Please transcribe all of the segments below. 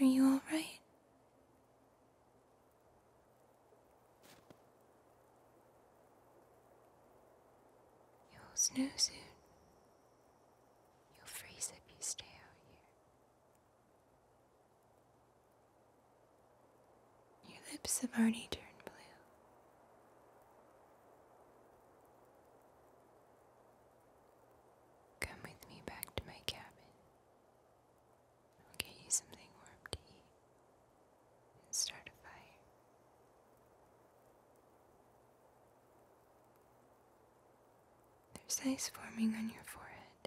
Are you all right? You'll snow soon. You'll freeze if you stay out here. Your lips have already turned. blue. Come with me back to my cabin. I'll get you something warm to eat and start a fire. There's ice forming on your forehead.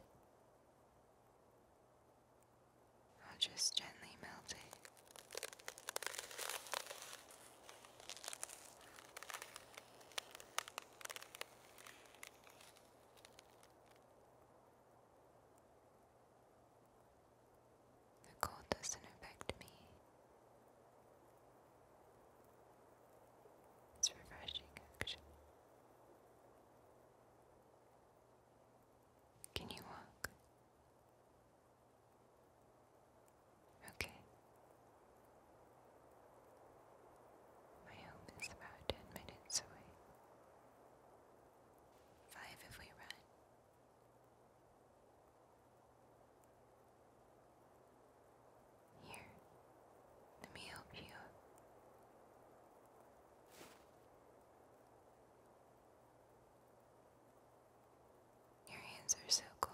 I'll just gently melt it. The cold doesn't affect me. It's refreshing, Can you walk? Okay. My home is about ten minutes away. Five if we run. Here, let me help you. Your hands are so cool.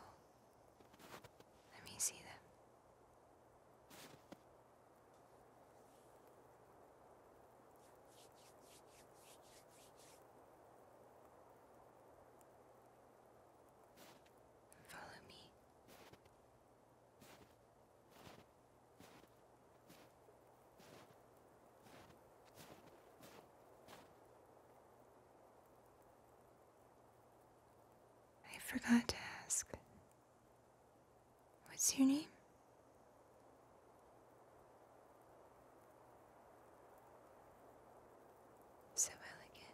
Let me see them. Follow me. I forgot to ask What's your name? So elegant.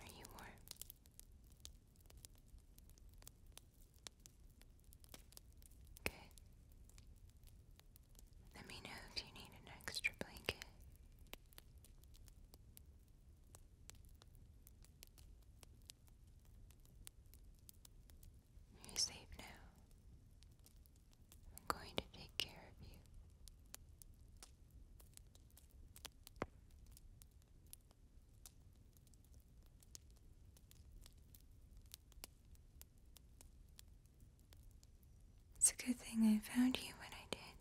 Are you warm? Good. Let me know if you need an extra blanket. You're safe now. I'm going to take care of you. It's a good thing I found you when I did.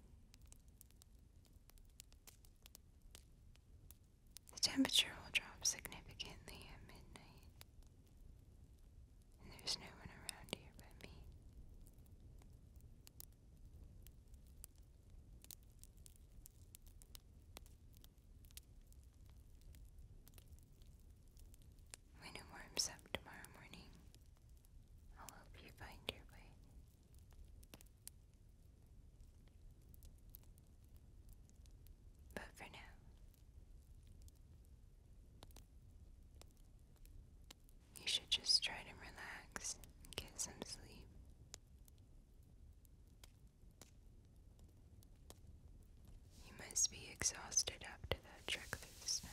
The temperature will drop significantly at midnight, and there's no one around here but me. When it warms up tomorrow morning, I'll help you find your way. But for now, you should just try to relax and get some sleep. You must be exhausted after that trek through the snow.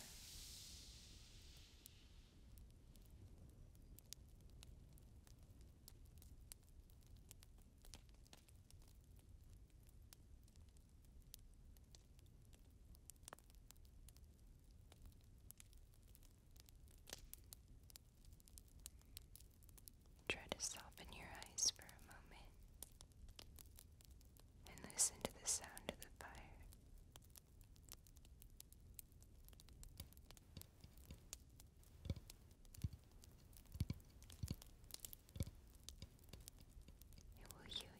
Try to soften your eyes for a moment and listen to the sound of the fire. It will heal you.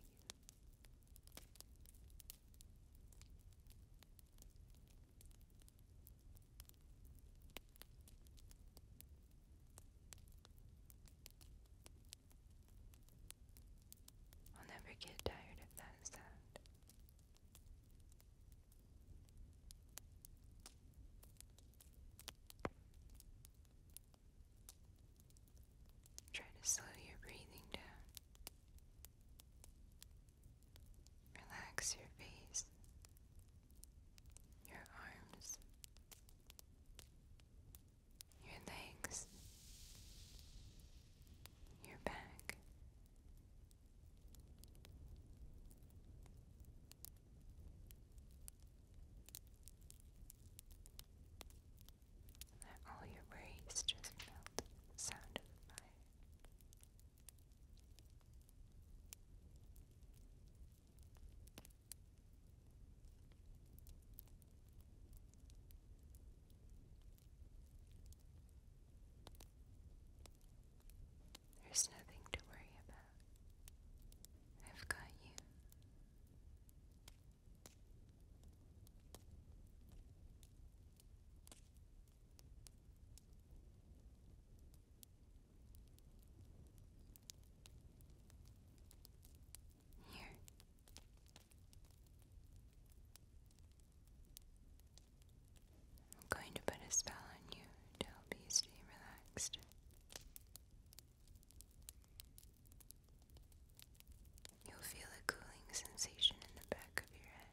I'll never get tired of that sound. Try to slow your breathing down. Relax your face, your arms, your legs, your back. Let all your worries just melt the there's nothing to worry about. I've got you. Here. I'm going to put a spell on you to help you stay relaxed. You'll feel a cooling sensation in the back of your head.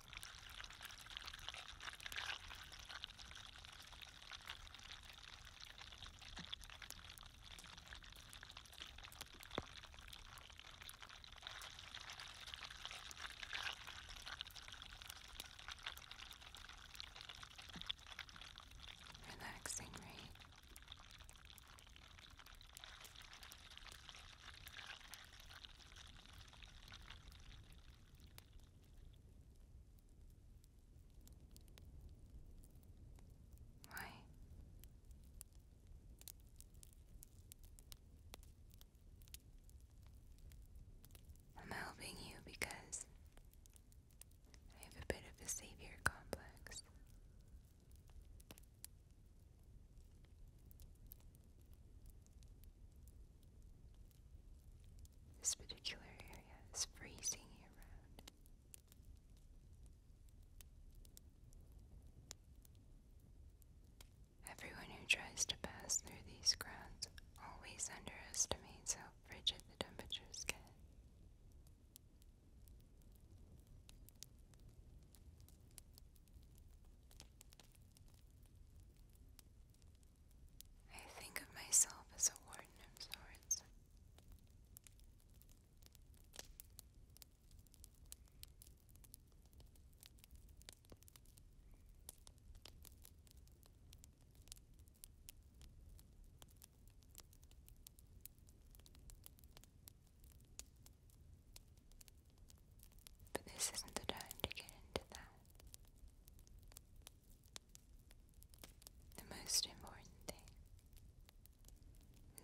Relaxing, right? Why? I'm helping you because I have a bit of a savior complex. This particular area is freezing around. Everyone who tries to pass through these grounds always underestimates how frigid the temperatures get. I think of myself as a warden of sorts. But this isn't the time to get into that. The most important thing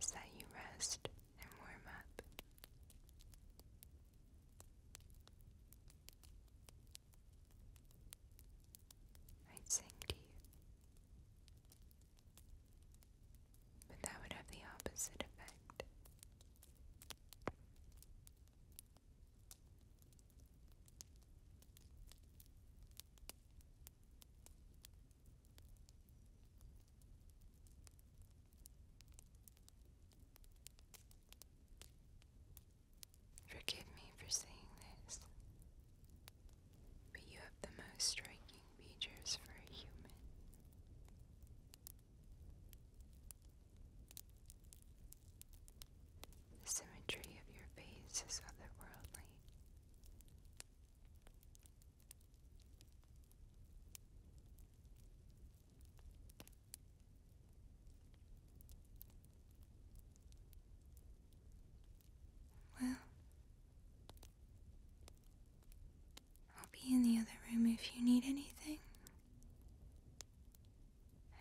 is that you rest and warm up. I'd sing to you, but that would have the opposite effect. Forgive me for saying this, but you have the most striking features for a human. The symmetry of your face is otherworldly. Well, I'll be in the other room if you need anything.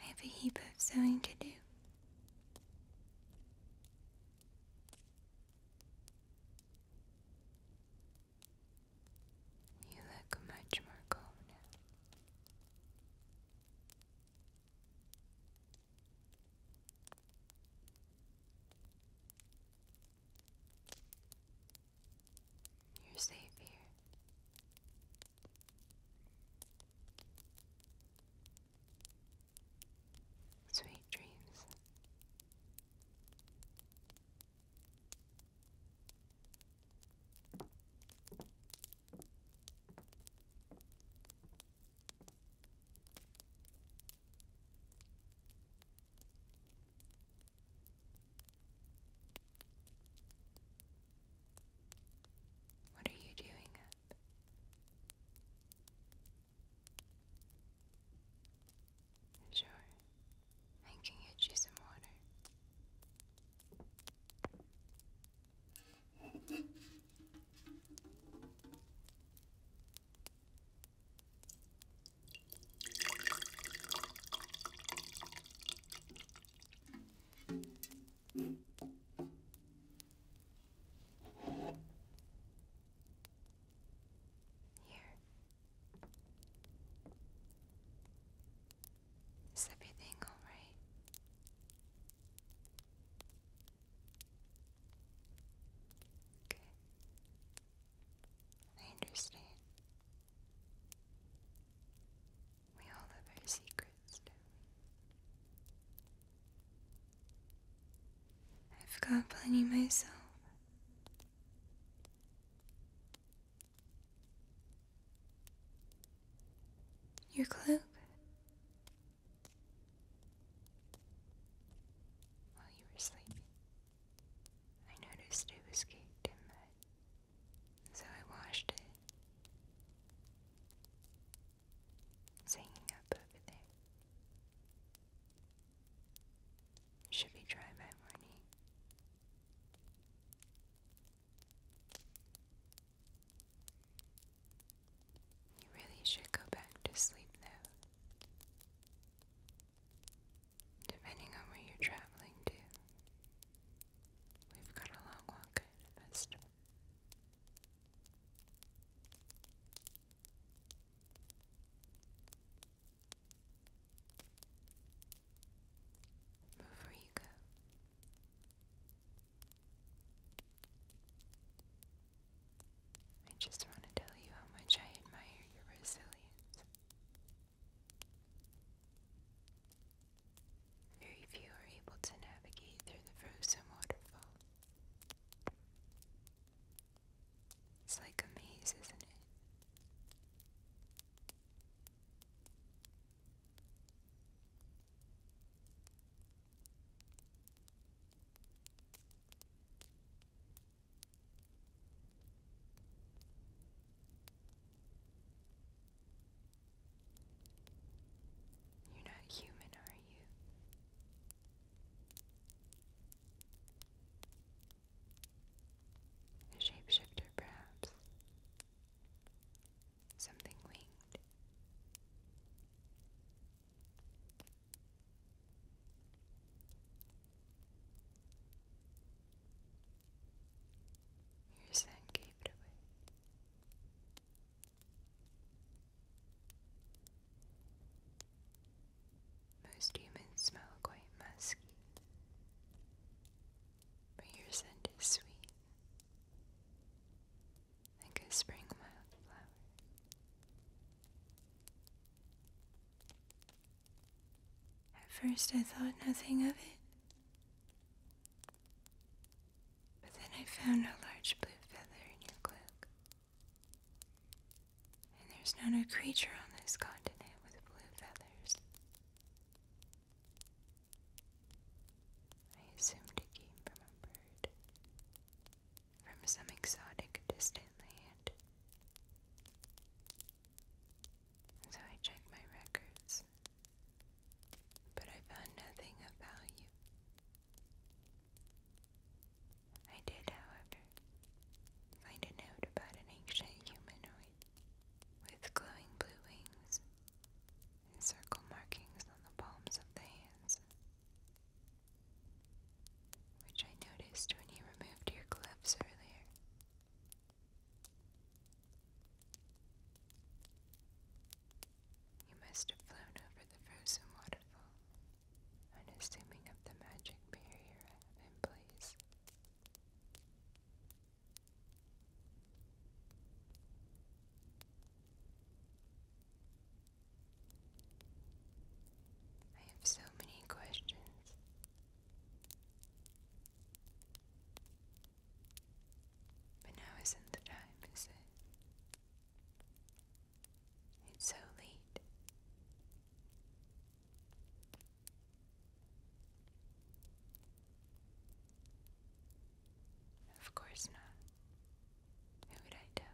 I have a heap of sewing to do. You look much more calm now. You're safe here. Sweet dreams. What are you doing Sure, I can get you some water. Here. Is everything all right? Okay. I understand. We all have our secrets, I've got plenty myself. Your cloak? While you were sleeping. I noticed it was caked in mud, so I washed it. It's up over there. Should be dry by morning. You really should go back to sleep though depending on where you're traveling to. We've got a long walk at a festival. Before you go. I just want to tell you how much I admire your resilience. Very few are able to navigate through the frozen waterfall. It's like a maze, isn't it? You're not human, are you? A shapeshifter, perhaps. Something winged. Your son gave it away. Most humans smell quite musky, but your scent is sweet, like a spring wildflower. At first, I thought nothing of it, but then I found a large blue feather in your cloak. And there's not a creature on this continent with blue feathers. I assumed it came from a bird, from some exotic distant land. So I checked my records, but I found nothing of value. I did, however, find a note about an ancient humanoid with glowing blue wings and circle markings on the palms of the hands which I noticed when you removed your gloves earlier. You must have flown over the frozen waterfall, unassuming of the magic barrier I have in place. I have so many questions. But now isn't the time, is it? It's so late. Of course not. Who would I tell?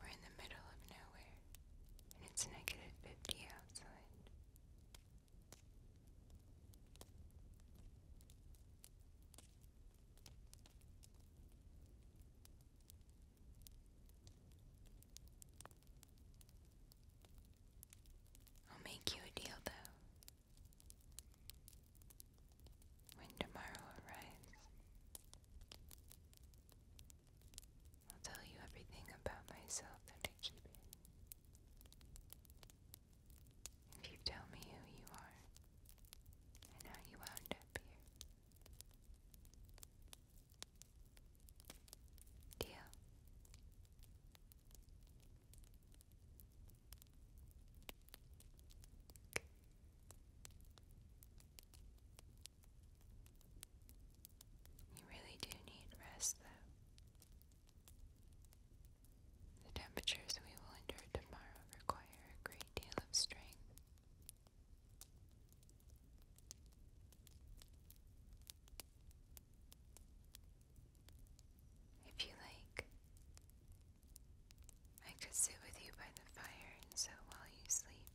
We're in the middle of nowhere, and it's negative 50 outside. I'll make you a deal, though. When tomorrow arrives, I'll tell you everything about myself that I keep If you tell me who you are and how you wound up here. Deal. You really do need rest, though. The temperatures we will endure tomorrow require a great deal of strength. If you like, I could sit with you by the fire and sew while you sleep.